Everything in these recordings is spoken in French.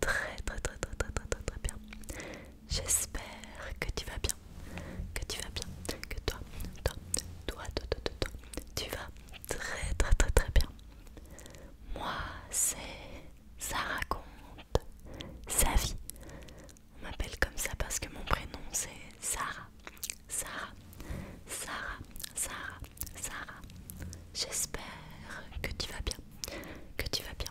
très très très très très très très, bien. J'espère que tu vas bien, que tu vas bien, que toi, toi, toi, toi, toi, toi, tu vas très très très très bien. Moi, c'est ça raconte sa vie. On m'appelle comme ça parce que mon prénom c'est Sarah. Sarah, Sarah, Sarah, Sarah. J'espère que tu vas bien, que tu vas bien,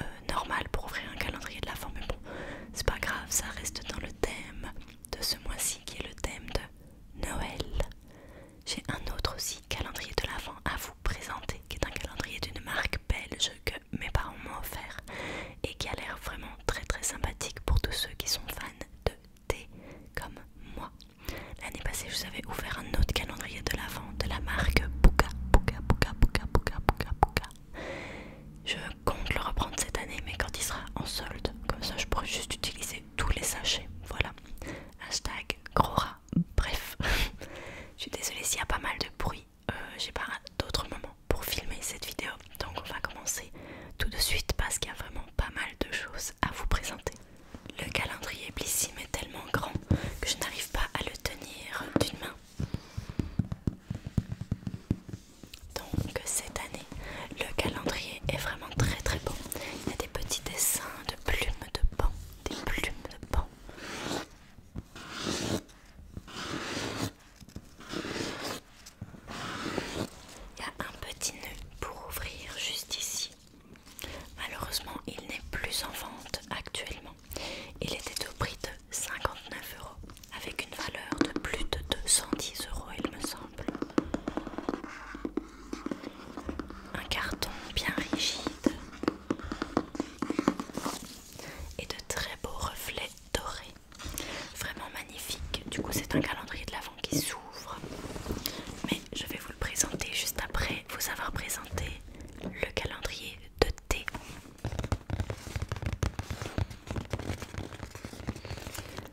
euh, normal pour ouvrir un calendrier de l'avant, mais bon, c'est pas grave, ça reste dans le thème de ce mois-ci qui est le thème de Noël. J'ai un autre aussi calendrier de l'avant à vous présenter, qui est un calendrier d'une marque belge que mes parents m'ont offert et qui a l'air vraiment très très sympathique pour tous ceux qui sont fans de thé comme moi. L'année passée, je vous avais ouvert un autre calendrier de l'avant de la marque Buka Buka Buka Buka Buka Buka Buka je compte le reprendre cette année, mais quand il sera en solde, comme ça je pourrai juste utiliser tous les sachets. Voilà. Hashtag gros Bref, je suis désolée s'il y a pas mal de bruit. Euh, j'ai pas d'autres moments pour filmer cette vidéo, donc on va commencer tout de suite parce qu'il y a vraiment pas mal de choses à vous présenter. Le calendrier Blissim est tellement grand que je n'arrive pas à le tenir d'une main donc cette année, le calendrier est vraiment très très bon Il y a des petits dessins de plumes de pan, des plumes de pan. Il y a un petit nœud pour ouvrir juste ici. Malheureusement, il n'est plus en vente actuellement. Il était au prix de 59 euros, avec une valeur de plus de 210 euros, il me semble. Un carton bien rigide et de très beaux reflets dorés, vraiment magnifique. Du coup, c'est un calendrier de l'avant qui s'ouvre, mais je vais vous le présenter juste après vous avoir présenté le calendrier de thé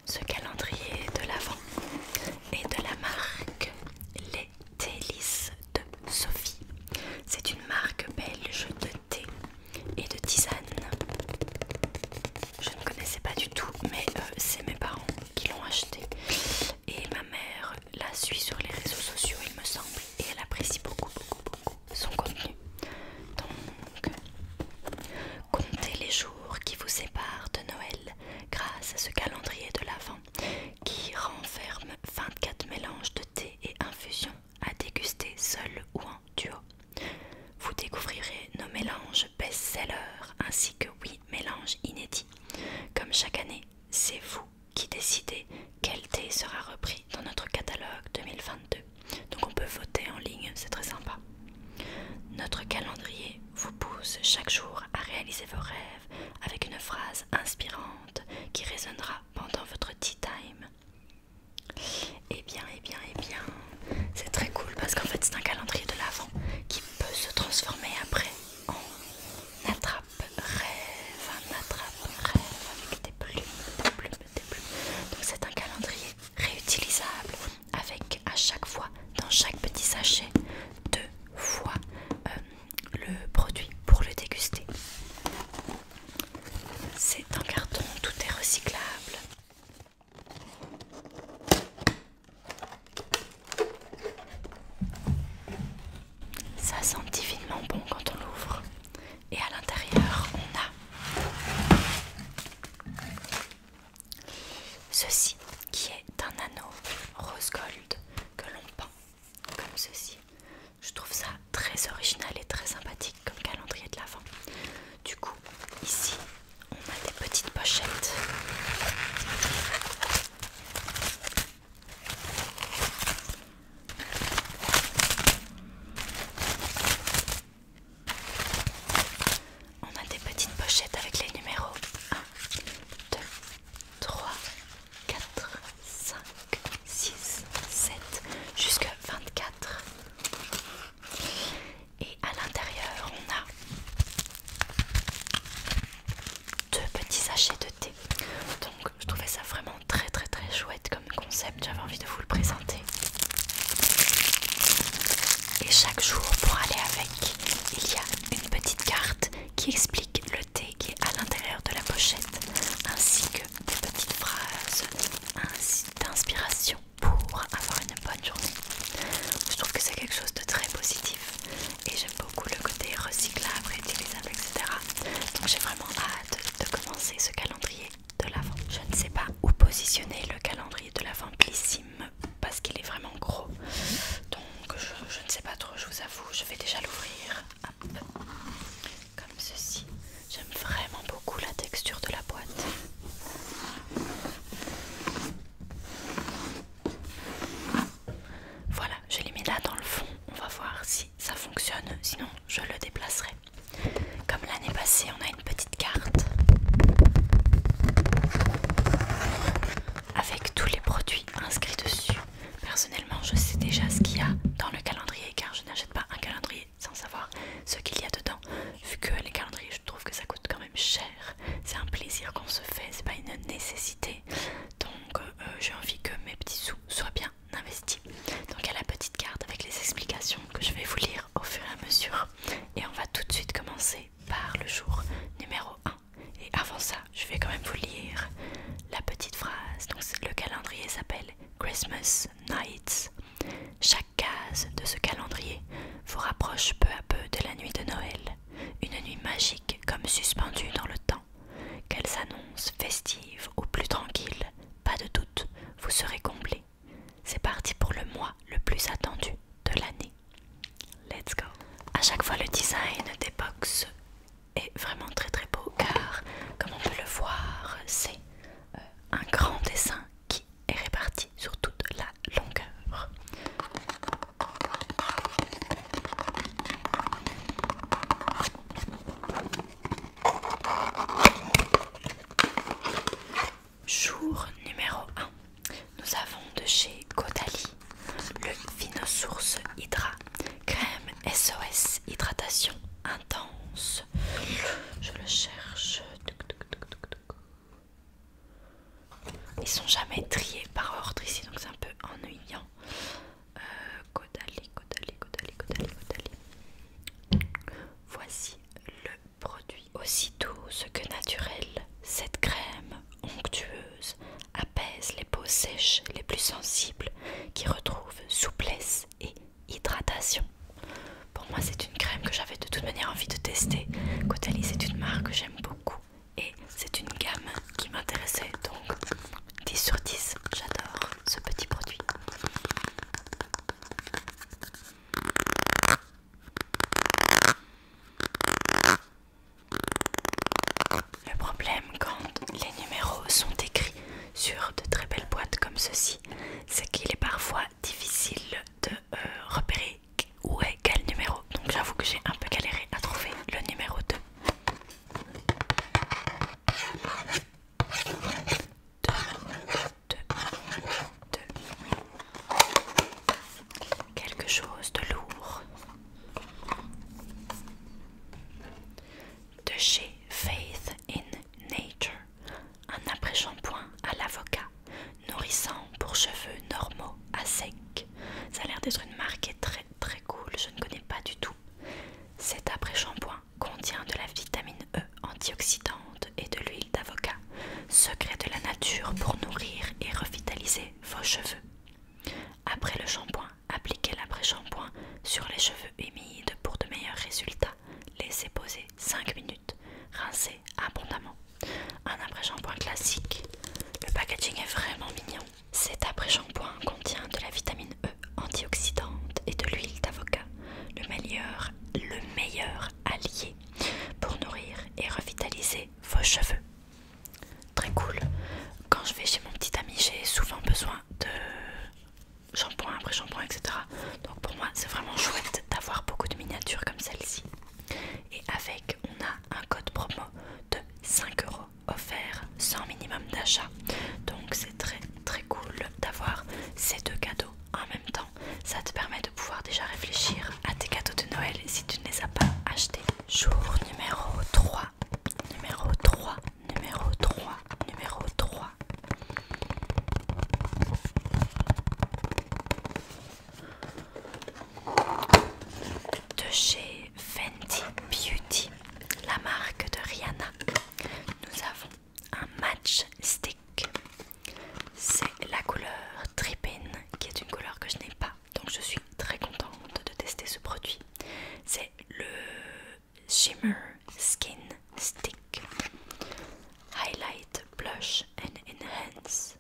ce calendrier de l'avant est de la marque Les Télices de Sophie. C'est une marque belge de thé et de tisane. Je ne connaissais pas du tout, mais euh, c'est mes parents qui l'ont acheté. Et ma mère la suit sur les réseaux sociaux, il me semble, et elle apprécie beaucoup, beaucoup son contenu. Donc, comptez les jours qui vous séparent de Noël grâce à ce calendrier de l'Avent qui renferme 24 mélanges de thé et infusions à déguster seul ou en duo. Vous découvrirez nos mélanges best-sellers ainsi que 8 mélanges inédits. Comme chaque année, c'est vous qui décidez quel thé sera repris dans notre catalogue 2022 Donc on peut voter en ligne, c'est très sympa. Notre calendrier vous pousse chaque jour à réaliser vos rêves avec une phrase inspirante qui résonnera pendant votre tea time. Eh bien, eh bien, eh bien, c'est très cool parce qu'en fait c'est un calendrier de l'avant qui peut se transformer après en attrape rêve, un attrape rêve avec des plumes, des plumes donc c'est un calendrier réutilisable avec à chaque fois dans chaque petit sachet deux fois euh, le produit pour le déguster. C'est un carton, tout est recyclable. Ça sent divinement bon quand on l'ouvre. Et à l'intérieur, on a ceci qui est un anneau rose gold que l'on peint comme ceci. Je trouve ça très original et très sympathique comme calendrier de l'avant. Du coup, ici, on a des petites pochettes. On a des petites pochettes avec les numéros 1, 2, 3, 4, 5, 6, 7, jusqu'à 24. Et à l'intérieur, on a deux petits sachets de thé. Donc je trouvais ça vraiment très très très chouette comme concept, j'avais envie de vous le présenter. Et chaque jour pour aller avec, il y a une petite carte qui explique le thé qui est à l'intérieur de la pochette, ainsi que des petites phrases d'inspiration pour avoir une bonne journée. Je trouve que c'est quelque chose de très positif et j'aime beaucoup le côté recyclable, réutilisable, etc. Donc j'ai vraiment hâte de commencer ce calendrier de l'avant. Je ne sais pas où positionner le calendrier de l'avant glissime parce qu'il est vraiment gros. Donc je, je ne sais pas trop, je vous avoue. Je vais déjà l'ouvrir. Comme ceci. J'aime vraiment beaucoup la texture de la boîte. Voilà, je l'ai mis là dans le fond. On va voir si ça fonctionne. Sinon, je le déplacerai. Comme l'année passée, on a une petite carte avec tous les produits inscrits dessus. Personnellement, je sais déjà ce qu'il y a dans le calendrier car je n'achète pas un calendrier sans savoir ce qu'il y a dedans. Vu que les calendriers, je trouve que ça coûte quand même cher. C'est un plaisir qu'on se fait, c'est pas une nécessité. Donc, euh, j'ai envie que mes petits sous soient bien donc il y a la petite carte avec les explications que je vais vous lire au fur et à mesure. Et on va tout de suite commencer par le jour numéro 1. Et avant ça, je vais quand même vous lire la petite phrase. Donc le calendrier s'appelle Christmas Nights. Chaque case de ce calendrier vous rapproche peu à peu de la nuit de Noël, une nuit magique comme suspendue dans le temps, qu'elle s'annonce festive au plus tranquille, pas de doute, vous serez comblés C'est parti pour le mois le plus attendu de l'année. Let's go! À chaque fois, le design des box est vraiment très très beau car, comme on peut le voir, c'est euh, un grand dessin qui est réparti sur toute la longueur. Jour numéro 1. Nous avons de chez Caudalie le Vinosource Hydra. Crème SOS hydratation intense. Je le cherche. Ils sont jamais triés par ordre ici, donc c'est un peu ennuyant. Caudalie, Caudalie, Caudalie, Caudalie, Voici le produit. Aussitôt ce que naturel, cette crème onctueuse apaise les peaux sèches les plus sensibles qui retrouvent souplesse et hydratation. Pour moi, c'est une crème que j'avais de toute manière envie de tester. Caudalie, c'est une marque que j'aime beaucoup et c'est une gamme qui m'intéressait donc 10 sur 10, j'adore ce petit produit. Le problème quand les numéros sont écrits sur de très belles boîtes comme ceci, c'est qu'il est parfois difficile de euh, repérer où est quel numéro. Donc j'avoue que j'ai un peu galéré à trouver le numéro 2. Quelque chose de lourd. De chez Faith in Nature, un après-shampoing à l'avocat, nourrissant pour cheveux normaux à sec. Ça a l'air d'être une marque qui est très très cool, je ne connais pas du tout. Cet après-shampoing contient de la vitamine E antioxydante et de l'huile d'avocat, secret de la nature pour nourrir et revitaliser vos cheveux. Après le shampoing, appliquez l'après-shampoing sur les cheveux humides pour de meilleurs résultats. Laissez poser 5 minutes. Rincez abondamment. Un après-shampoing classique. Le packaging est vraiment mignon. Cet après-shampoing contient de la vitamine E Antioxydante et de l'huile d'avocat, le meilleur, le meilleur allié pour nourrir et revitaliser vos cheveux. Très cool. Quand je vais chez mon petit ami, j'ai souvent besoin de shampoing après shampoing, etc. Donc pour moi, c'est vraiment chouette d'avoir beaucoup de miniatures comme celle-ci. Et avec, on a un code promo de 5 euros offert sans minimum d'achat. Donc c'est très très cool d'avoir ces deux cadeaux en même temps. Ça te permet de pouvoir déjà réfléchir à tes cadeaux de Noël si tu ne les as pas achetés. Jour numéro 3, numéro 3, numéro 3, numéro 3. De chez Fenty Beauty, la marque de Rihanna, nous avons un match stick. C'est la couleur Trippin qui est une couleur que je n'ai pas. Donc je suis très contente de tester ce produit. C'est le Shimmer Skin Stick. Highlight, blush and enhance.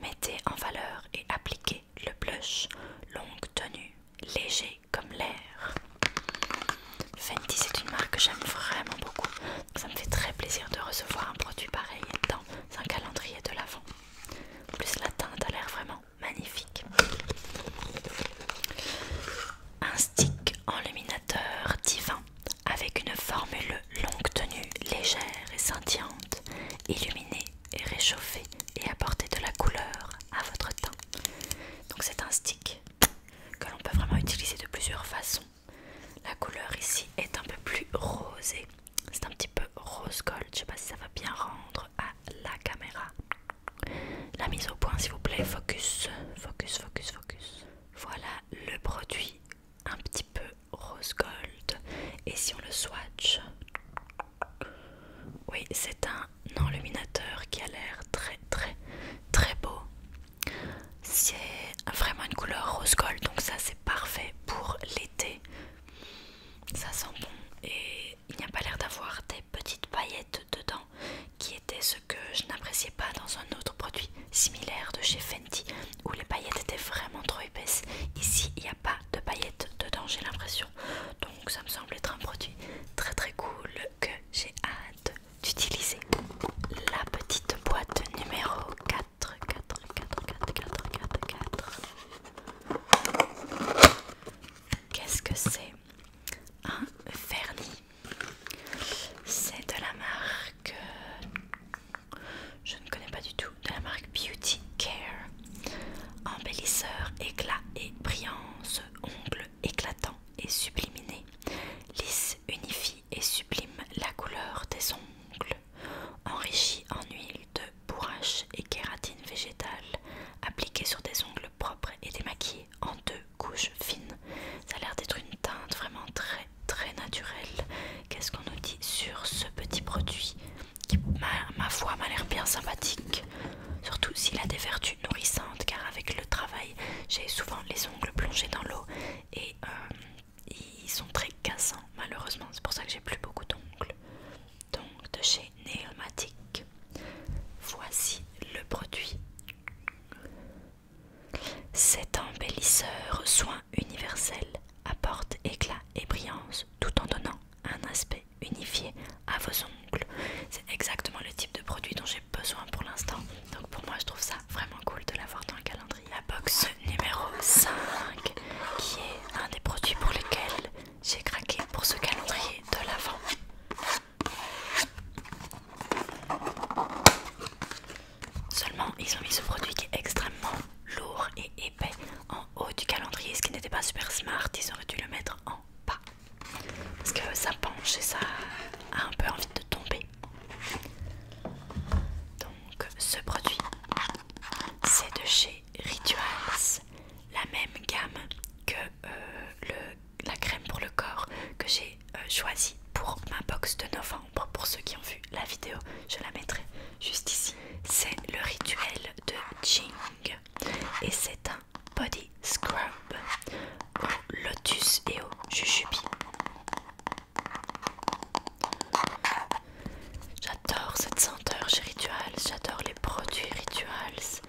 Mettez en valeur et appliquez le blush, longue tenue, léger comme l'air. Fenty, c'est une marque que j'aime vraiment beaucoup. ça me fait très plaisir de recevoir un produit pareil dans un calendrier de l'avant. En plus, la teinte a l'air vraiment magnifique. Un stick enluminateur divin avec une formule longue tenue légère et scintillante, illuminée et réchauffée et apportez de la couleur à votre teint. Donc c'est un stick que l'on peut vraiment utiliser de plusieurs façons. La couleur ici est un peu plus rosée. C'est un petit peu rose gold. Je sais pas si ça va bien rendre à la caméra. La mise au point s'il vous plaît. Focus, focus, focus, focus. Voilà le produit un petit peu rose gold. Et si on le swatch... Oui, c'est un non, enluminateur qui a l'air très très très beau. C'est vraiment une couleur rose gold, donc ça c'est parfait pour l'été. Ça sent bon et il n'y a pas l'air d'avoir des petites paillettes dedans, qui était ce que je n'appréciais pas dans un autre produit similaire de chez Fenty où les paillettes étaient vraiment trop épaisses. Ici il n'y a pas de paillettes dedans, j'ai l'impression. Donc ça me semble être un produit très très cool que j'ai hâte d'utiliser la petite boîte numéro 4 4 4 4 4 4 4 Qu'est-ce que c'est Un vernis. C'est de la marque je ne connais pas du tout de la marque Beauty Care. Embellisseur, éclat et brillance, ongles éclatants et subliminé Lisse unifie et sublime la couleur des ongles. enrichi en huile de bourrache et kératine végétale, appliqué sur des ongles propres et démaquillés en deux couches fines. Ça a l'air d'être une teinte vraiment très très naturelle. Qu'est-ce qu'on nous dit sur ce petit produit ma foi, m'a l'air bien sympathique. Surtout s'il a des vertus nourrissantes car avec le travail j'ai souvent les ongles plongés dans l'eau et euh, ils sont très cassants malheureusement. C'est pour ça que j'ai plus beaucoup d'ongles. Donc de chez Neomatic, voici le produit. Cet embellisseur soin universel apporte éclat et brillance tout en donnant un aspect unifié à vos ongles. C'est exactement le type de produit dont j'ai besoin pour l'instant. Donc pour moi je trouve ça vraiment cool de l'avoir dans le calendrier. La box numéro 5 qui est un des produits pour lesquels j'ai craqué pour ce calendrier de l'avant. Seulement ils ont mis ce produit qui est extrêmement lourd et épais en haut du calendrier, ce qui n'était pas super smart, ils auraient dû le mettre en bas. Parce que ça penche et ça a un peu envie de tomber. Donc ce produit, c'est de chez Rituals, la même gamme que euh, la crème pour le corps que j'ai euh, choisi pour ma box de novembre. Pour ceux qui ont vu la vidéo, je la mettrai juste ici. C'est le rituel de Jing et c'est un Body Scrub lotus et au jujubi. J'adore cette senteur chez Rituals, j'adore les produits Rituals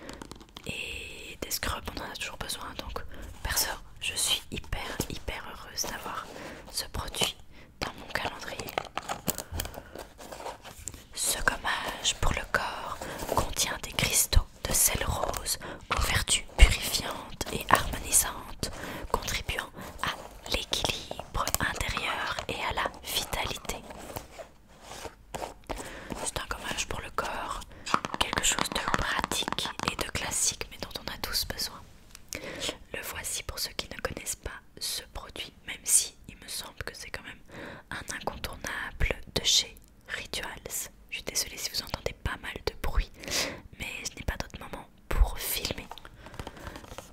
et des scrubs, on en a toujours besoin donc perso, je suis hyper hyper heureuse d'avoir ce produit dans mon calendrier. Ce gommage pour le corps contient des cristaux de sel rose aux vertus purifiantes et harmonisantes, contribuant à l'équilibre intérieur et à la vitalité. C'est un gommage pour le corps, quelque chose de pratique et de classique, mais dont on a tous besoin. Le voici pour ceux qui ne connaissent pas ce produit, même si il me semble que c'est quand même un incontournable de chez Rituals. Je suis désolée si vous entendez pas mal de bruit, mais je n'ai pas d'autre moment pour filmer.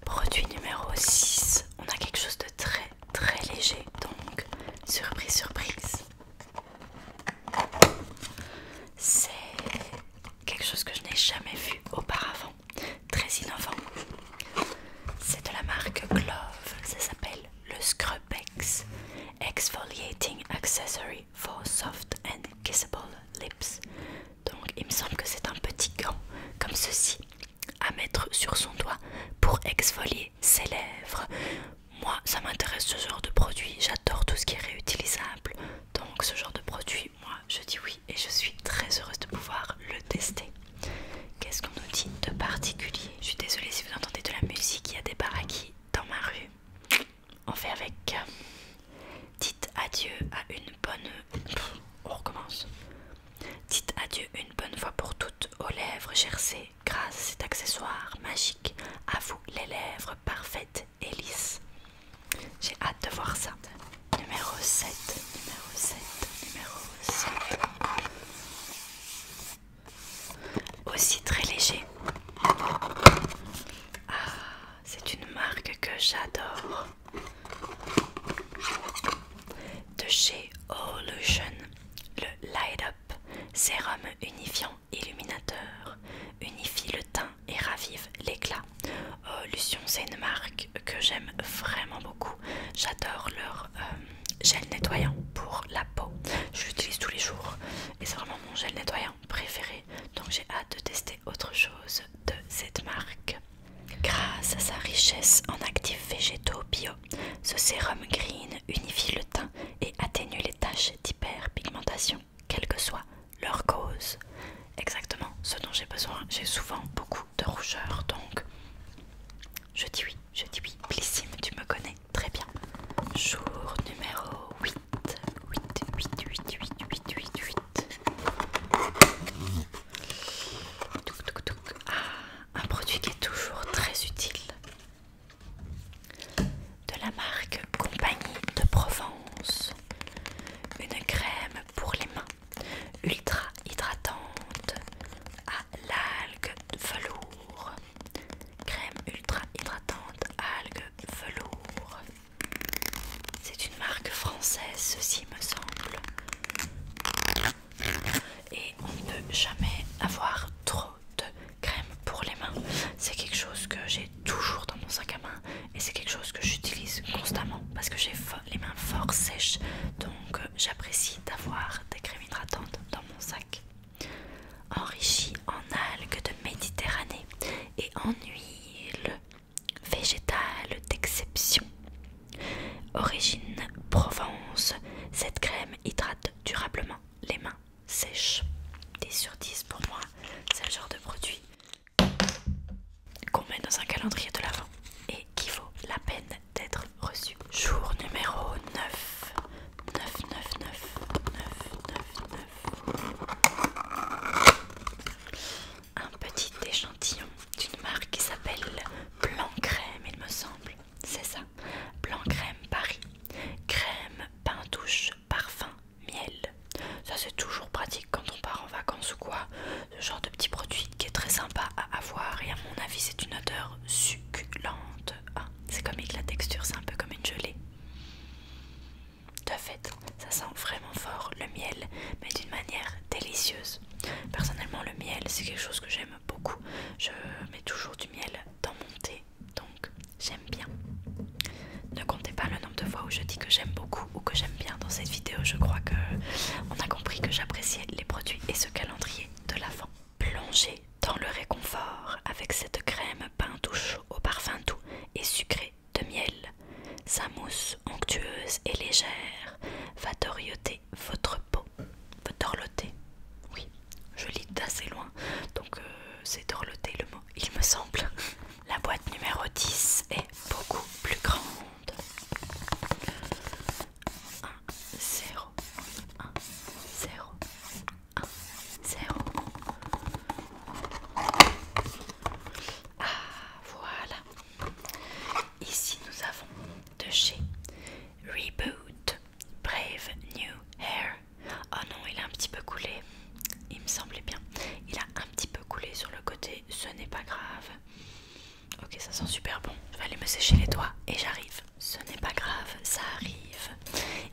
Produit numéro 6. On a quelque chose de très très léger, donc surprise, surprise. C'est quelque chose que je n'ai jamais vu auparavant, très innovant. C'est de la marque Glove, ça s'appelle le Scrub APEX Exfoliating Accessory for Soft and Kissable Lips. Donc il me semble que c'est un petit gant comme ceci à mettre sur son doigt pour exfolier ses lèvres. Moi ça m'intéresse ce genre de produit, j'adore tout ce qui est réutilisable. Donc ce genre de produit, moi je dis oui et je suis très heureuse de pouvoir le tester. Qu'est-ce qu'on nous dit de particulier Je suis désolée si vous entendez de la musique, il y a des baraquis dans ma rue. On fait avec. Euh, dites adieu à une bonne. on recommence. Dites adieu une bonne fois pour toutes aux lèvres gercées, grâce cet accessoire magique. À vous les lèvres parfaites et lisses. J'ai hâte de voir ça. Numéro 7, numéro 7, numéro 7 aussi très léger. Ah, c'est une marque que j'adore de chez Olution, le Light Up sérum unifiant illuminateur unifie le teint et ravive l'éclat. Olution, c'est une marque que j'aime vraiment beaucoup. J'adore leur euh, gel nettoyant pour la peau. Je l'utilise tous les jours et c'est vraiment mon gel nettoyant préféré donc j'ai hâte de tester autre chose de cette marque. Grâce à sa richesse en actifs végétaux bio, ce sérum green unifie le teint et atténue les taches d'hyperpigmentation, quelle que soit leur cause. Exactement ce dont j'ai besoin, j'ai souvent beaucoup de rougeur donc je dis oui. Je dis oui. Plissime, tu me connais très bien. Jour numéro 8. 8, 8, 8, 8, 8, 8, 8. Ah, un produit qui est toujours très utile. De la marque Compagnie de Provence. Une crème pour les mains. Ultra hydratante à l'algue velours crème ultra hydratante algues velours. C'est une marque française, ceci me semble. Et on ne peut jamais avoir trop de crème pour les mains. C'est quelque chose que j'ai toujours dans mon sac à main et c'est quelque chose que j'utilise constamment parce que j'ai les mains fort sèches. Donc euh, j'apprécie d'avoir des crèmes hydratantes dans mon sac enrichie en algues de Méditerranée et en huile végétale d'exception. Origine Provence, cette crème hydrate durablement les mains sèches. Des sur 10 pour moi, c'est le genre de produit qu'on met dans un calendrier de l'avant et qui vaut la peine d'être reçu. Jour numéro 9. 999 9, Un petit échantillon d'une marque qui s'appelle Blanc Crème, il me semble. C'est ça. Blanc Crème Paris. Crème, pain douche, parfum, miel. Ça c'est toujours pratique quand on part en vacances ou quoi. Ce genre de petit produit qui est très sympa à avoir et à mon avis c'est une odeur succulente. Ah, c'est comique la texture, c'est un peu comme une gelée. De fait, ça sent vraiment fort le miel, mais d'une manière délicieuse. Personnellement, le miel, c'est quelque chose que j'aime beaucoup. Je mets toujours du miel dans mon thé, donc j'aime bien. Ne comptez pas le nombre de fois où je dis que j'aime beaucoup ou que j'aime bien dans cette vidéo. Je crois que on a compris que j'appréciais les produits et ce calendrier de l'avant. Plongez dans le réconfort avec cette crème pain au parfum doux et sucré de miel. Sa mousse onctueuse et légère va dorloter votre peau. Va dorloter. Oui, je lis d'assez loin, donc euh, c'est dorloter le mot, il me semble. La boîte numéro 10 est beaucoup plus grande. 1, 0. Ah, voilà. Ici, nous avons de chez Reboot Brave New Hair. Oh non, il a un petit peu coulé. Il me semblait bien. Il a un petit peu coulé sur le côté. Ce n'est pas grave. Ok, ça sent super bon. Je vais aller me sécher les doigts et j'arrive ce n'est pas grave, ça arrive.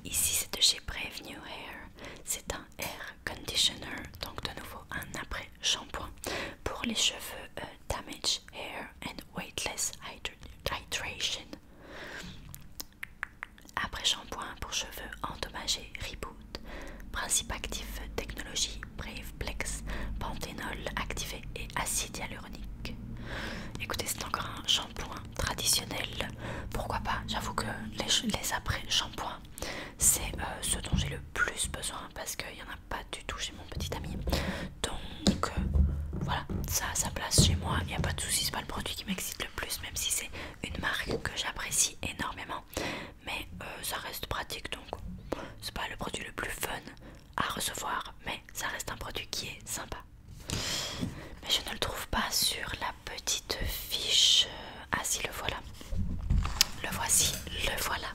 Ici, c'est de chez Brave New Hair. C'est un air conditioner, donc de nouveau un après-shampoing pour les cheveux euh, Damage Hair and Weightless Hydration. Après-shampoing pour cheveux endommagés Reboot. Principe actif, technologie Brave Plex, panthénol activé et acide Écoutez, c'est encore un shampoing traditionnel. Pourquoi pas J'avoue que les, après-shampoings, c'est euh, ce dont j'ai le plus besoin parce qu'il n'y en a pas du tout chez mon petit ami. Donc euh, voilà, ça a sa place chez moi. Il n'y a pas de souci, c'est pas le produit qui m'excite le plus, même si c'est une marque que j'apprécie énormément. Mais euh, ça reste pratique donc c'est pas le produit le plus fun à recevoir, mais ça reste un produit qui est sympa mais je ne le trouve pas sur la petite fiche. Ah si, le voilà. Le voici, le voilà.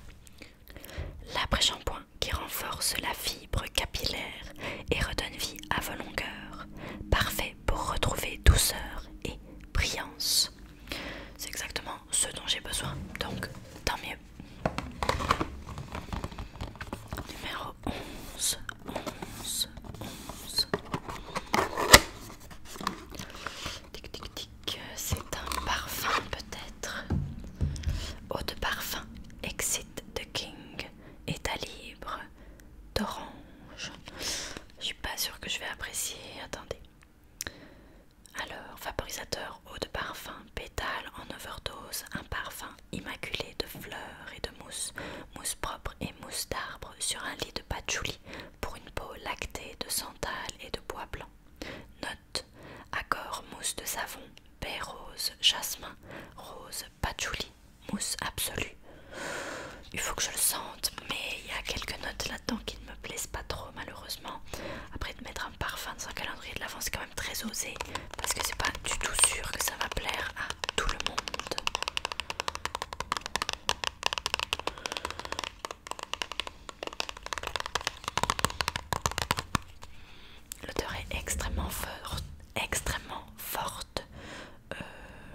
L'après-shampoing qui renforce la fibre capillaire et redonne vie à vos longueurs. Parfait pour retrouver douceur et brillance. C'est exactement ce dont j'ai besoin, donc tant mieux. Numéro 11, 11, 11. Tic tic tic, c'est un parfum peut-être. Eau de parfum, Exit the King, état libre, d'orange. Je suis pas sûre que je vais apprécier. Attendez. Alors, vaporisateur, eau de parfum, pétale en overdose, un parfum Immaculée de fleurs et de mousse, mousse propre et mousse d'arbre sur un lit de patchouli pour une peau lactée de santal et de bois blanc. Note accord mousse de savon, baie rose, jasmin, rose, patchouli, mousse absolue. Il faut que je le sente, mais il y a quelques notes là-dedans qui ne me plaisent pas trop malheureusement. Après de mettre un parfum dans un calendrier de l'avance, c'est quand même très osé parce que c'est pas du tout sûr que ça va plaire tout le monde. L'odeur est extrêmement forte, extrêmement forte. Euh,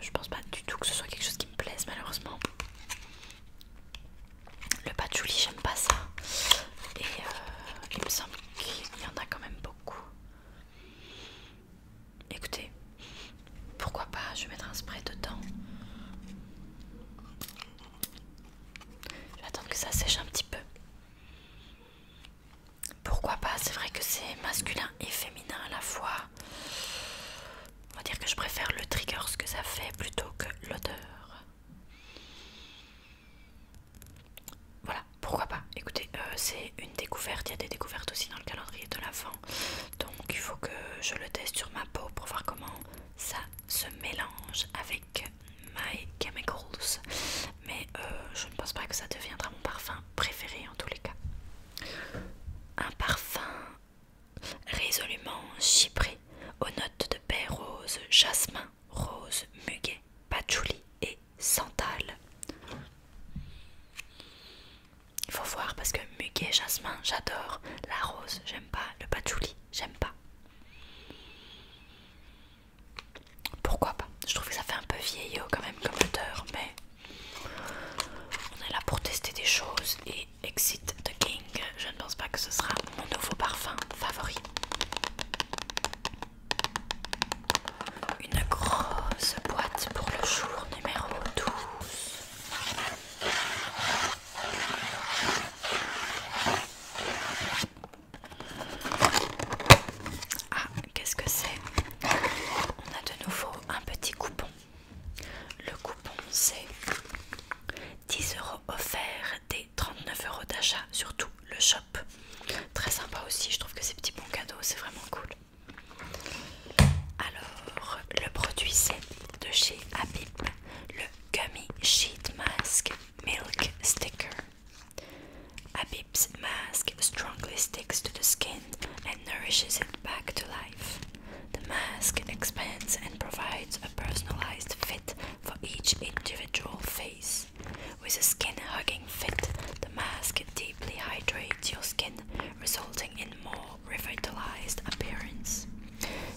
je pense pas du tout que ce soit quelque chose qui me plaise malheureusement. Le patchouli, j'aime pas ça. Et euh, il me semble qu'il y en a quand même beaucoup. Écoutez, pourquoi pas, je vais mettre un spray dedans. Je vais attendre que ça sèche un petit peu. Pourquoi pas, c'est vrai que c'est masculin et féminin à la fois. On va dire que je préfère le trigger, ce que ça fait, plutôt que l'odeur. Voilà, pourquoi pas. Écoutez, euh, c'est une découverte. Il y a des découvertes aussi dans le calendrier de fin Donc il faut que je le teste sur ma peau pour voir comment ça se mélange avec My Chemicals. Mais euh, je ne pense pas que ça deviendra mon parfum préféré en tous les cas. Un parfum résolument chypré aux notes de baie rose, jasmin, rose, muguet, patchouli et Santal. Il faut voir parce que muguet, jasmin, j'adore. La rose, j'aime pas. Le patchouli, j'aime pas. Pourquoi pas Je trouve que ça fait un peu vieillot quand même comme odeur, mais on est là pour tester des choses et Exit the King, je ne pense pas que ce sera mon nouveau parfum favori. Une grosse boîte pour le jour numéro 12. Ah, qu'est-ce que c'est On a de nouveau un petit coupon. Le coupon, c'est 10 euros offerts des 39 euros d'achat sur tout le shop Très sympa aussi, je trouve que ces petit bon cadeau, c'est vraiment cool. Alors, le produit c'est de chez Habib, le Gummy Sheet Mask Milk Sticker. Habib's mask strongly sticks to the skin and nourishes it back to life. The mask expands and provides a personalized fit for each individual face. With a skin hugging fit, the mask deeply hydrates your skin, resulting in more revitalized appearance.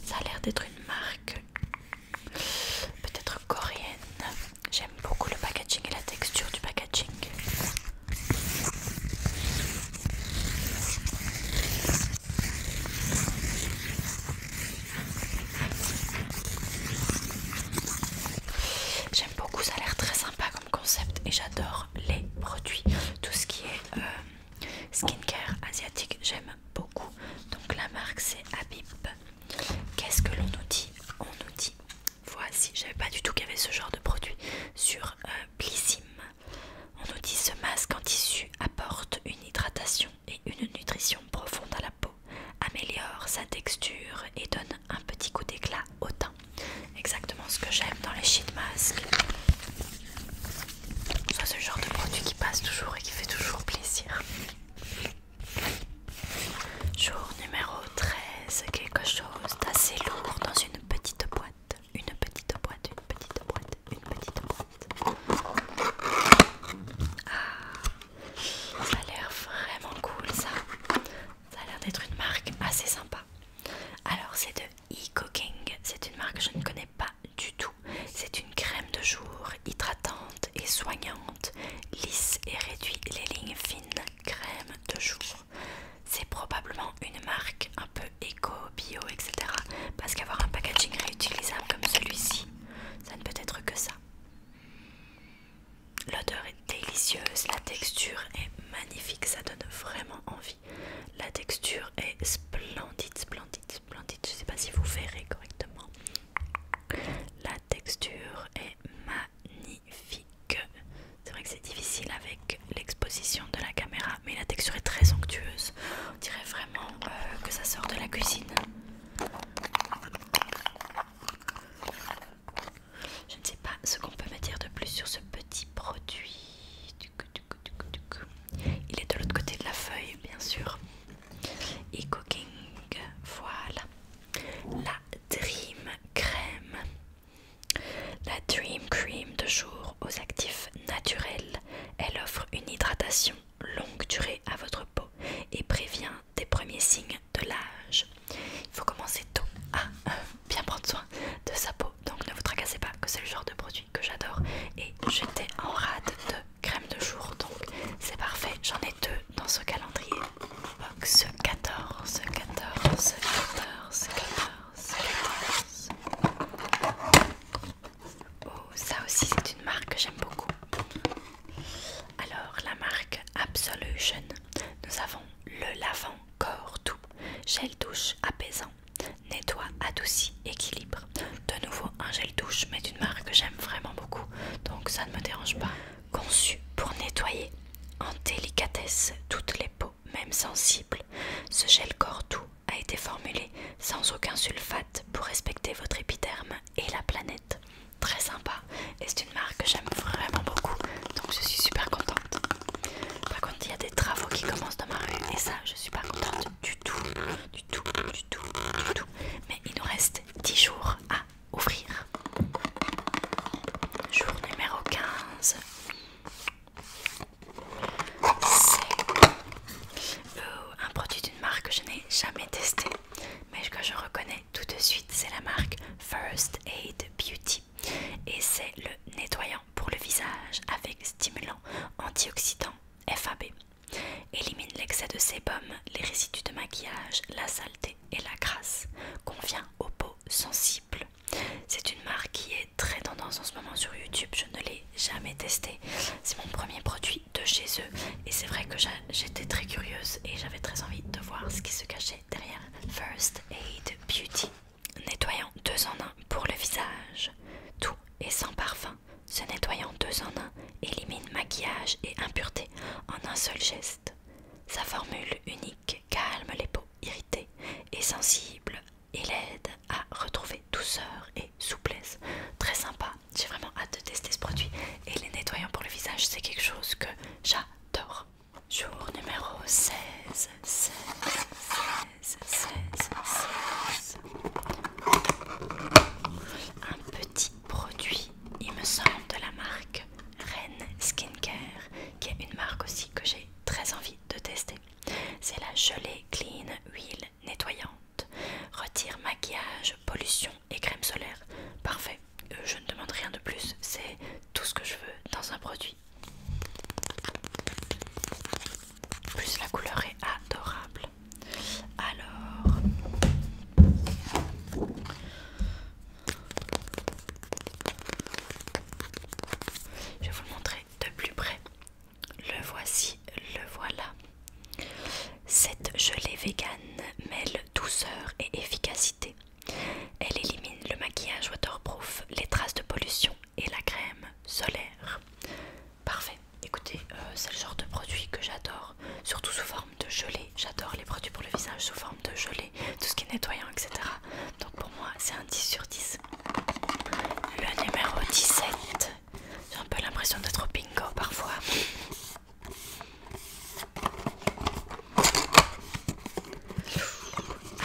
Ça a l'air d'être une marque peut-être coréenne. J'aime beaucoup le packaging et la texture du packaging. beaucoup, ça a l'air très sympa comme concept et j'adore les produits. Tout ce qui est euh, skincare asiatique, j'aime beaucoup. Donc la marque c'est Habib. Qu'est-ce que l'on nous dit On nous dit, voici, j'avais pas du tout qu'il y avait ce genre de produit sur euh, Blissim. On nous dit ce masque en tissu apporte une hydratation et une nutrition profonde à la peau, améliore sa texture et donne un petit coup d'éclat au teint. Exactement ce que j'aime dans les sheet masks. Ça c'est le genre de produit qui passe toujours et qui fait toujours plaisir. Jour numéro 13, quelque chose d'assez lourd dans une petite boîte. Une petite boîte, une petite boîte, une petite boîte. Ah, ça a l'air vraiment cool ça. Ça a l'air d'être une marque assez sympa. Alors c'est de e-cooking. C'est une marque que je ne connais pas du tout. C'est une crème de jour hydratante et soignante, lisse et réduit les lignes fines. Crème de jour. C'est probablement une marque un peu éco, bio, etc. Parce qu'avoir un packaging réutilisable comme celui-ci, ça ne peut être que ça. L'odeur est délicieuse, la texture est magnifique, ça donne vraiment envie. La texture est splendide, splendide, splendide. Je ne sais pas si vous verrez correctement. La texture est magnifique. C'est vrai que c'est difficile avec l'exposition de la caméra, mais la texture est très onctueuse. On dirait vraiment euh, que ça sort de la cuisine. Je ne sais pas ce qu'on peut me dire de plus sur ce petit produit. Il est de l'autre côté de la feuille, bien sûr. Et cooking, voilà. La Dream Cream, La Dream Cream de jour aux actifs naturels. Elle offre une hydratation longue durée à votre peau et prévient des premiers signes de l'âge. Il faut commencer tôt à ah, euh, bien prendre soin de sa peau. Donc ne vous tracassez pas que c'est le genre de produit que j'adore. Et j'étais en rade de crème de jour. Donc c'est parfait. J'en ai deux dans ce calendrier. Box 14, 14, 14, 14, 14. Oh, ça aussi c'est une marque que j'aime beaucoup. Alors, la marque Absolution, nous avons le lavant corps doux, gel douche apaisant, nettoie, adouci, équilibre. De nouveau, un gel douche, mais d'une marque que j'aime vraiment beaucoup, donc ça ne me dérange pas. Conçu pour nettoyer en délicatesse toutes les peaux, même sensibles, ce gel corps doux a été formulé sans aucun sulfate pour respecter votre épiderme et la planète très sympa et c'est une marque que j'aime vraiment beaucoup donc je suis super contente. Par contre il y a des travaux qui commencent dans ma rue et ça je suis pas contente du tout, du tout, du tout, du tout. Mais il nous reste 10 jours à ouvrir. Jour numéro 15. C'est euh, un produit d'une marque que je n'ai jamais testé mais que je reconnais tout de suite, c'est la marque First Aid Beauty et c'est le nettoyant pour le visage avec stimulant antioxydant FAB. Élimine l'excès de sébum, les résidus de maquillage, la saleté et la crasse. Convient aux peaux sensibles. C'est une marque qui est très tendance en ce moment sur YouTube. Je ne l'ai jamais testée. C'est mon premier produit de chez eux. Et c'est vrai que j'étais très curieuse et j'avais très envie de voir ce qui se cachait derrière First Aid Beauty. Nettoyant deux en un pour le visage. Tout et sans parfum. Ce nettoyant deux en un élimine maquillage et impureté en un seul geste. Sa formule unique calme les peaux irritées et sensibles et l'aide à retrouver douceur et souplesse. Très sympa. J'ai vraiment hâte de tester ce produit. Et les nettoyants pour le visage, c'est quelque chose que j'adore. Jour numéro 16, 16, 16, 16, Un petit produit, il me semble, de la marque Rennes Skincare, qui est une marque aussi que j'ai très envie de tester. C'est la gelée clean huile nettoyante. Retire maquillage, pollution et crème solaire. Parfait je ne demande rien de plus, c'est tout ce que je veux dans un produit. Plus la couleur est adorable. Alors... Je vais vous le montrer de plus près. Le voici, le voilà. Cette gelée végane mêle douceur et efficacité. Elle élimine le maquillage waterproof, les traces de pollution et la crème solaire. Parfait. Écoutez, euh, c'est le genre de produit que j'adore, surtout sous forme de gelée. J'adore les produits pour le visage sous forme de gelée, tout ce qui est nettoyant, etc. Donc pour moi, c'est un 10 sur 10. Le numéro 17. J'ai un peu l'impression d'être au bingo parfois.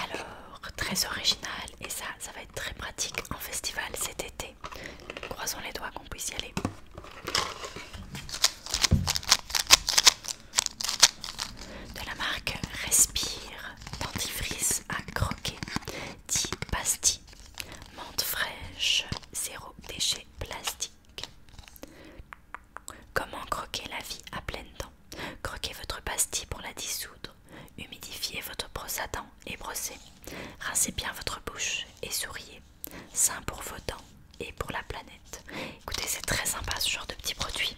Alors, très original et ça, ça va être très pratique en festival cet été. Croisons les doigts qu'on puisse y aller. De la marque Respire, dentifrice à croquer, 10 pastilles, menthe fraîche, zéro déchet plastique. Comment croquer la vie à pleine dents Croquez votre pastille pour la dissoudre, humidifiez votre brosse à dents et brossez, rincez bien votre bouche et souriez. Sain pour vos dents et pour la planète. Écoutez, c'est très sympa ce genre de petit produit.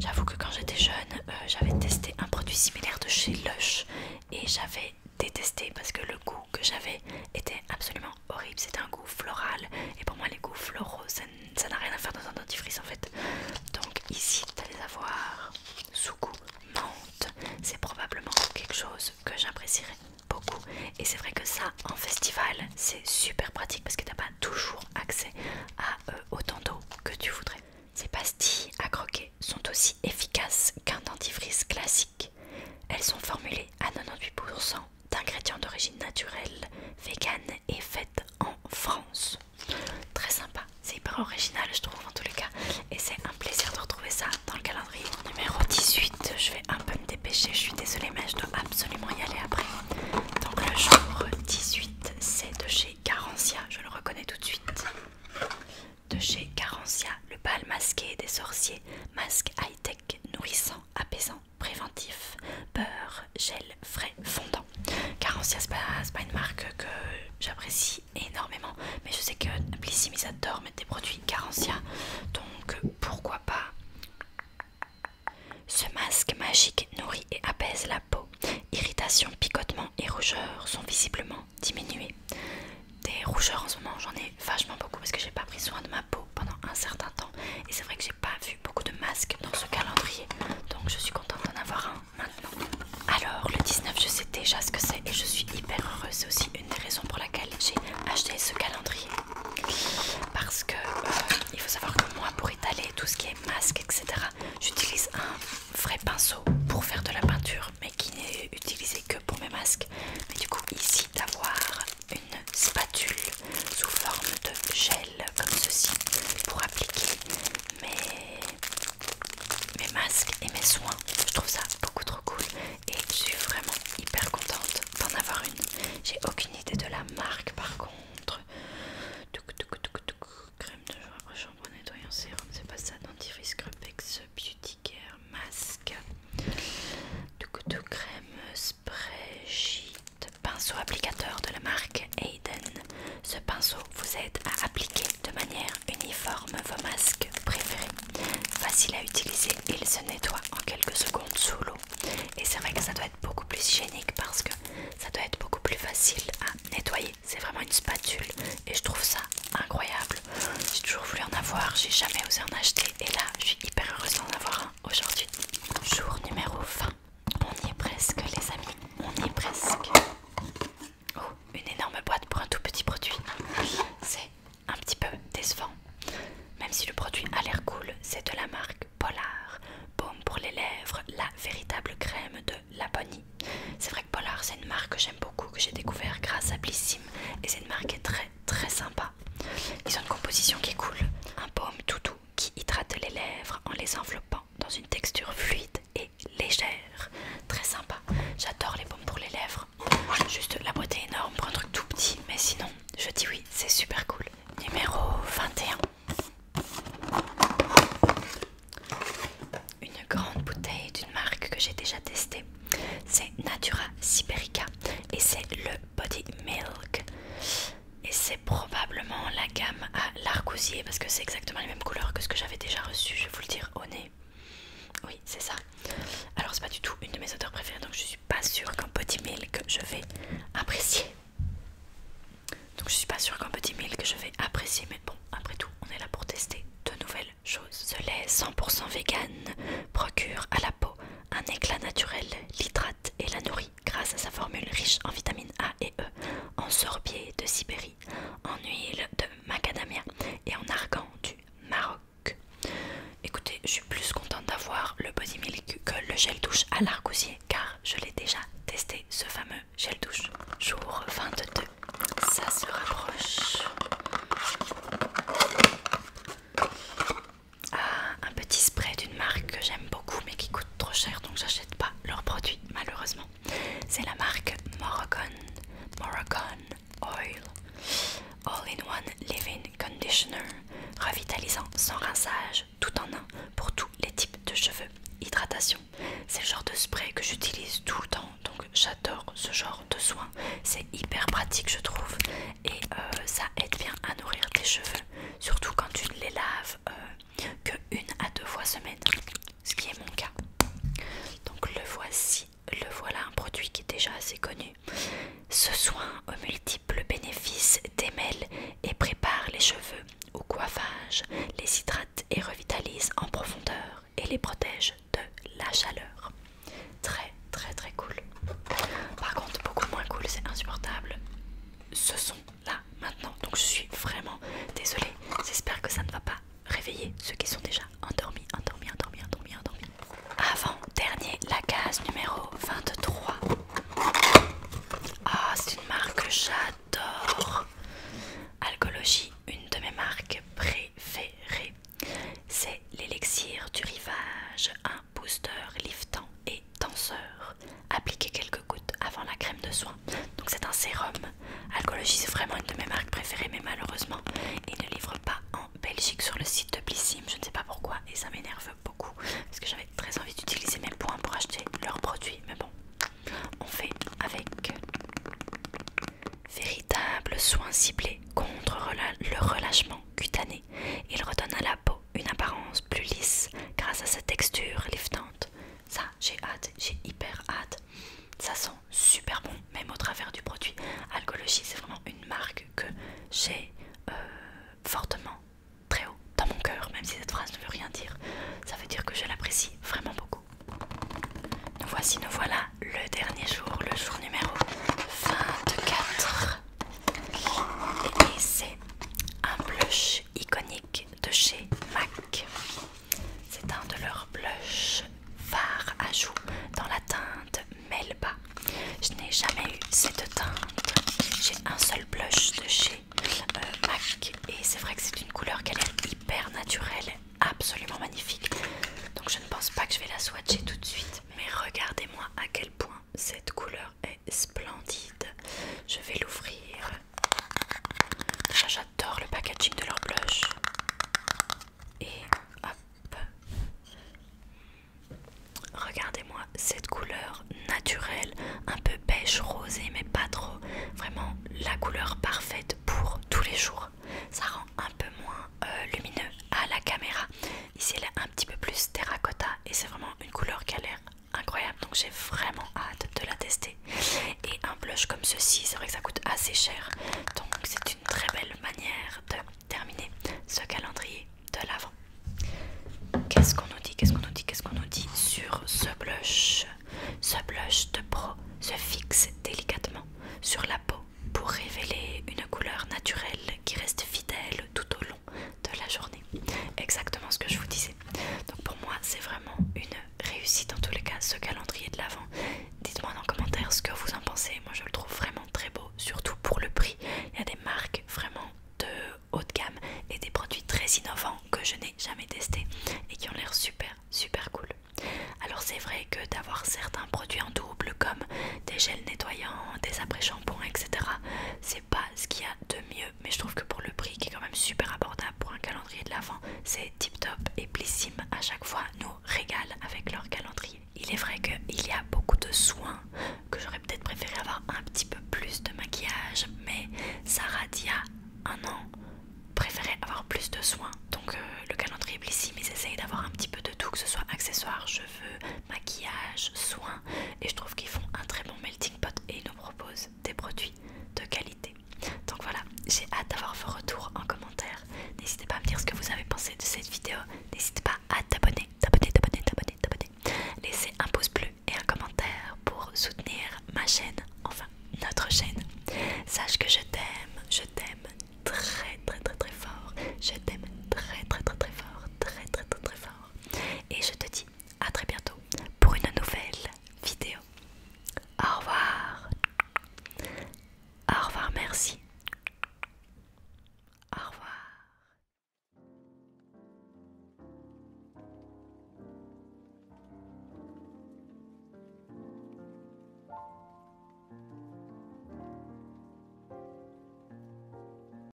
J'avoue que quand j'étais jeune, euh, j'avais testé un produit similaire de chez Lush et j'avais détesté parce que le goût que j'avais était absolument horrible, c'est un goût floral et pour moi les goûts floraux ça n'a rien à faire dans un dentifrice en fait. Donc ici vas les avoir sous goût menthe, c'est probablement quelque chose que j'apprécierais beaucoup et c'est vrai que ça en festival c'est super pratique parce que t'as pas toujours accès à euh, autant d'eau que tu voudrais. Ces pastilles à croquer sont aussi efficaces qu'un dentifrice classique. Elles sont formulées à 98% d'ingrédients d'origine naturelle, vegan est faite en France. Très sympa, c'est hyper original je trouve en tous les cas. Et c'est un plaisir de retrouver ça dans le calendrier. Numéro 18, je vais un peu me dépêcher, je suis désolée mais je dois absolument y aller après. Donc le jour 18, c'est de chez Carancia. je le reconnais tout de suite. De chez Carencia, le bal masqué des sorciers, masque high-tech, nourrissant, apaisant, préventif, beurre, gel frais, fondant. Carencia, c'est pas, une marque que j'apprécie énormément, mais je sais que Blissim ils adorent mettre des produits Carencia, donc pourquoi pas. Ce masque magique nourrit et apaise la peau. Irritation, picotement et rougeur sont visiblement Diminués Des rougeurs en ce moment, j'en ai vachement beaucoup parce que j'ai pas pris soin de ma peau pendant un certain temps et c'est vrai que j'ai pas vu beaucoup de masques dans ce calendrier donc je suis contente d'en avoir un maintenant alors le 19 je sais déjà ce que c'est et je suis hyper heureuse c'est aussi une des raisons pour laquelle j'ai acheté ce calendrier parce que euh, il faut savoir que moi pour étaler tout ce qui est masque etc j'utilise un vrai pinceau pour faire de la peinture mais qui n'est utilisé que pour mes masques mais du coup ici d'avoir une spatule sous forme de gel comme ceci pour appliquer mes, masques et mes soins. Je trouve ça beaucoup trop cool et je suis vraiment hyper contente d'en avoir une. J'ai aucune idée de la marque par contre. Crème de jour nettoyant sérum, c'est pas ça, dentifrice crepex, Beauty Care masque. coup de crème pinceau applicateur de la marque Aiden. Ce pinceau vous aide à appliquer de manière uniforme vos masques préférés. Facile à utiliser, il se nettoie en quelques secondes sous l'eau. Et c'est vrai que ça doit être beaucoup plus hygiénique parce que ça doit être beaucoup plus facile à nettoyer. C'est vraiment une spatule et je trouve ça incroyable. J'ai toujours voulu en avoir, j'ai jamais osé en acheter et là je suis hyper heureuse d'en avoir un. Aujourd'hui, jour numéro 20. On y est presque, les amis. On y est presque. Oh, une énorme boîte pour un tout petit produit. C'est un petit peu décevant. Même si le produit a l'air cool, c'est de la marque Polar. Baume pour les lèvres, la véritable crème de la bonnie C'est vrai que Polar, c'est une marque que j'aime beaucoup, que j'ai découvert grâce à Blissim. Et c'est une marque qui est très très sympa. Ils ont une composition qui est cool. Un paume tout qui hydrate les lèvres en les enveloppant dans une texture fluide et légère. Très sympa. J'adore les baumes pour les lèvres. Juste la beauté énorme pour un truc tout petit, mais sinon, je dis oui, c'est super cool. Numéro 21. Une grande bouteille d'une marque que j'ai déjà testée. C'est Natura Siberica et c'est le Body Milk et c'est probablement la gamme à l'arcousier parce que c'est exactement les mêmes couleurs que ce que j'avais déjà reçu, je vais vous le dire au nez. Oui, c'est ça. Alors, c'est pas du tout une de mes odeurs préférées donc je suis pas sûre qu'un Body Milk je vais apprécier. Donc, je suis pas sûre qu'un Body Milk je vais apprécier, mais bon, après tout, on est là pour tester de nouvelles choses. Ce lait 100% vegan procure à la peau un éclat naturel, l'hydrate et la nourrit grâce à sa formule riche en vitamines A et E, en sorbier de Sibérie, en huile de macadamia et en argan du Maroc. Écoutez, je suis plus contente d'avoir le Body Milk que le gel douche à l'argousier car je l'ai déjà testé ce fameux gel douche. Jour 22, ça se rapproche. Ah un petit spray d'une marque que j'aime beaucoup mais qui coûte trop cher donc j'achète pas leurs produits malheureusement. C'est la marque Moroccan, Moroccan Oil All-in-One Living Conditioner revitalisant sans rinçage tout en un pour tous les types de cheveux. Hydratation, c'est le genre de spray que j'utilise tout le temps donc j'adore ce genre de soins C'est hyper pratique je trouve et euh, ça aide bien à nourrir tes cheveux surtout quand tu ne les laves euh, que une à deux fois semaine, ce qui est mon cas. Donc le voici, le voilà un produit qui est déjà assez connu. Ce soin aux multiples bénéfices démêle et prépare les cheveux au coiffage, les hydrate et revitalise en profondeur et les protège de la chaleur. Très très très cool. Par contre beaucoup moins cool, c'est insupportable ce sont là maintenant. Donc je suis vraiment désolée. J'espère que ça ne va pas réveiller ceux qui sont déjà endormis, endormis, endormis, endormis, Avant dernier, la case numéro 23. Ah, c'est une marque que j'adore. Alcologie, une de mes marques préférées. C'est l'élixir du rivage, booster, liftant et tenseur. Appliquez quelques gouttes avant la crème de soin. Donc c'est un sérum. Alcologie c'est vraiment une de mes marques préférées mais malheureusement il ne livre pas en Belgique sur le site de Blissim. Je ne sais pas pourquoi et ça m'énerve beaucoup parce que j'avais très envie d'utiliser mes points pour acheter leurs produits. Mais bon, on fait avec véritable soin ciblé contre le relâchement cutané. Il redonne à la peau une apparence plus lisse grâce à sa texture liftante. Ça, j'ai hâte, j'ai hyper hâte. Ça sent super bon, même au travers du produit. Alcologie, c'est vraiment une marque que j'ai euh, fortement, très haut, dans mon cœur, même si cette phrase ne veut rien dire. Ça veut dire que je l'apprécie vraiment beaucoup. Nous voici, nous voilà, le dernier jour, le jour numéro 24. Et c'est un blush iconique de chez MAC. C'est un de leurs blushs phares à joues dans la teinte Melba. Je n'ai jamais eu cette teinte. J'ai un seul blush de chez euh, MAC et c'est vrai que c'est une couleur qu'elle est hyper naturelle, absolument magnifique. Donc je ne pense pas que je vais la swatcher tout de suite. Mais regardez-moi à quel point cette couleur est splendide. Je vais l'ouvrir. j'adore le packaging de leur blush. Et hop. Regardez-moi cette couleur naturelle, un peu pêche rosée, mais pas trop. Vraiment la couleur parfaite pour tous les jours. Ça rend un peu moins euh, lumineux à la caméra. Ici, elle est un petit peu plus terracotta et c'est vraiment une couleur qui a l'air incroyable donc j'ai vraiment hâte de la tester et un blush comme ceci c'est vrai que ça coûte assez cher donc c'est une très belle manière de terminer ce calendrier de l'avant qu'est-ce qu'on nous dit qu'est-ce qu'on nous dit qu'est-ce qu'on nous dit sur ce blush ce blush de pro se fixe délicatement sur la peau pour révéler une couleur naturelle qui reste fidèle tout au long de la journée. Exactement ce que je vous disais. Donc pour moi, c'est vraiment une réussite en tous les cas, ce calendrier de l'avant. Dites-moi dans les commentaires ce que vous en pensez. Moi, je le trouve vraiment très beau, surtout pour le prix. Il y a des marques vraiment de haut de gamme et des produits très innovants que je n'ai jamais testés et qui ont l'air super super cool. Alors c'est vrai que d'avoir certains produits en double comme des gels nettoyants, des après-shampoings, etc. C'est pas ce qu'il y a de mieux, mais je trouve que pour le prix qui est quand même super abordable pour un calendrier de l'avant, c'est tip top et Blissim à chaque fois nous régale avec leur calendrier. Il est vrai qu'il y a beaucoup de soins, que j'aurais peut-être préféré avoir un petit peu plus de maquillage, mais Sarah d'il y a un an préférait avoir plus de soins. Donc euh, le calendrier Blissim ils essayent d'avoir un petit peu de tout, que ce soit accessoires, cheveux, maquillage, soins et je trouve qu'ils font un très bon melting pot et ils nous proposent des produits de qualité. Donc voilà, j'ai hâte d'avoir vos retours en commentaire. N'hésitez pas à me dire ce que vous avez pensé de cette vidéo. N'hésitez pas à t'abonner, t'abonner, t'abonner, t'abonner, t'abonner. Laissez un pouce bleu et un commentaire pour soutenir ma chaîne, enfin notre chaîne. Sache que je t'aime, je t'aime très très très très fort. Je t'aime très très très très fort, très très très très fort. Et je te dis à très bientôt pour une nouvelle vidéo. Au revoir. Au revoir, merci. Au revoir.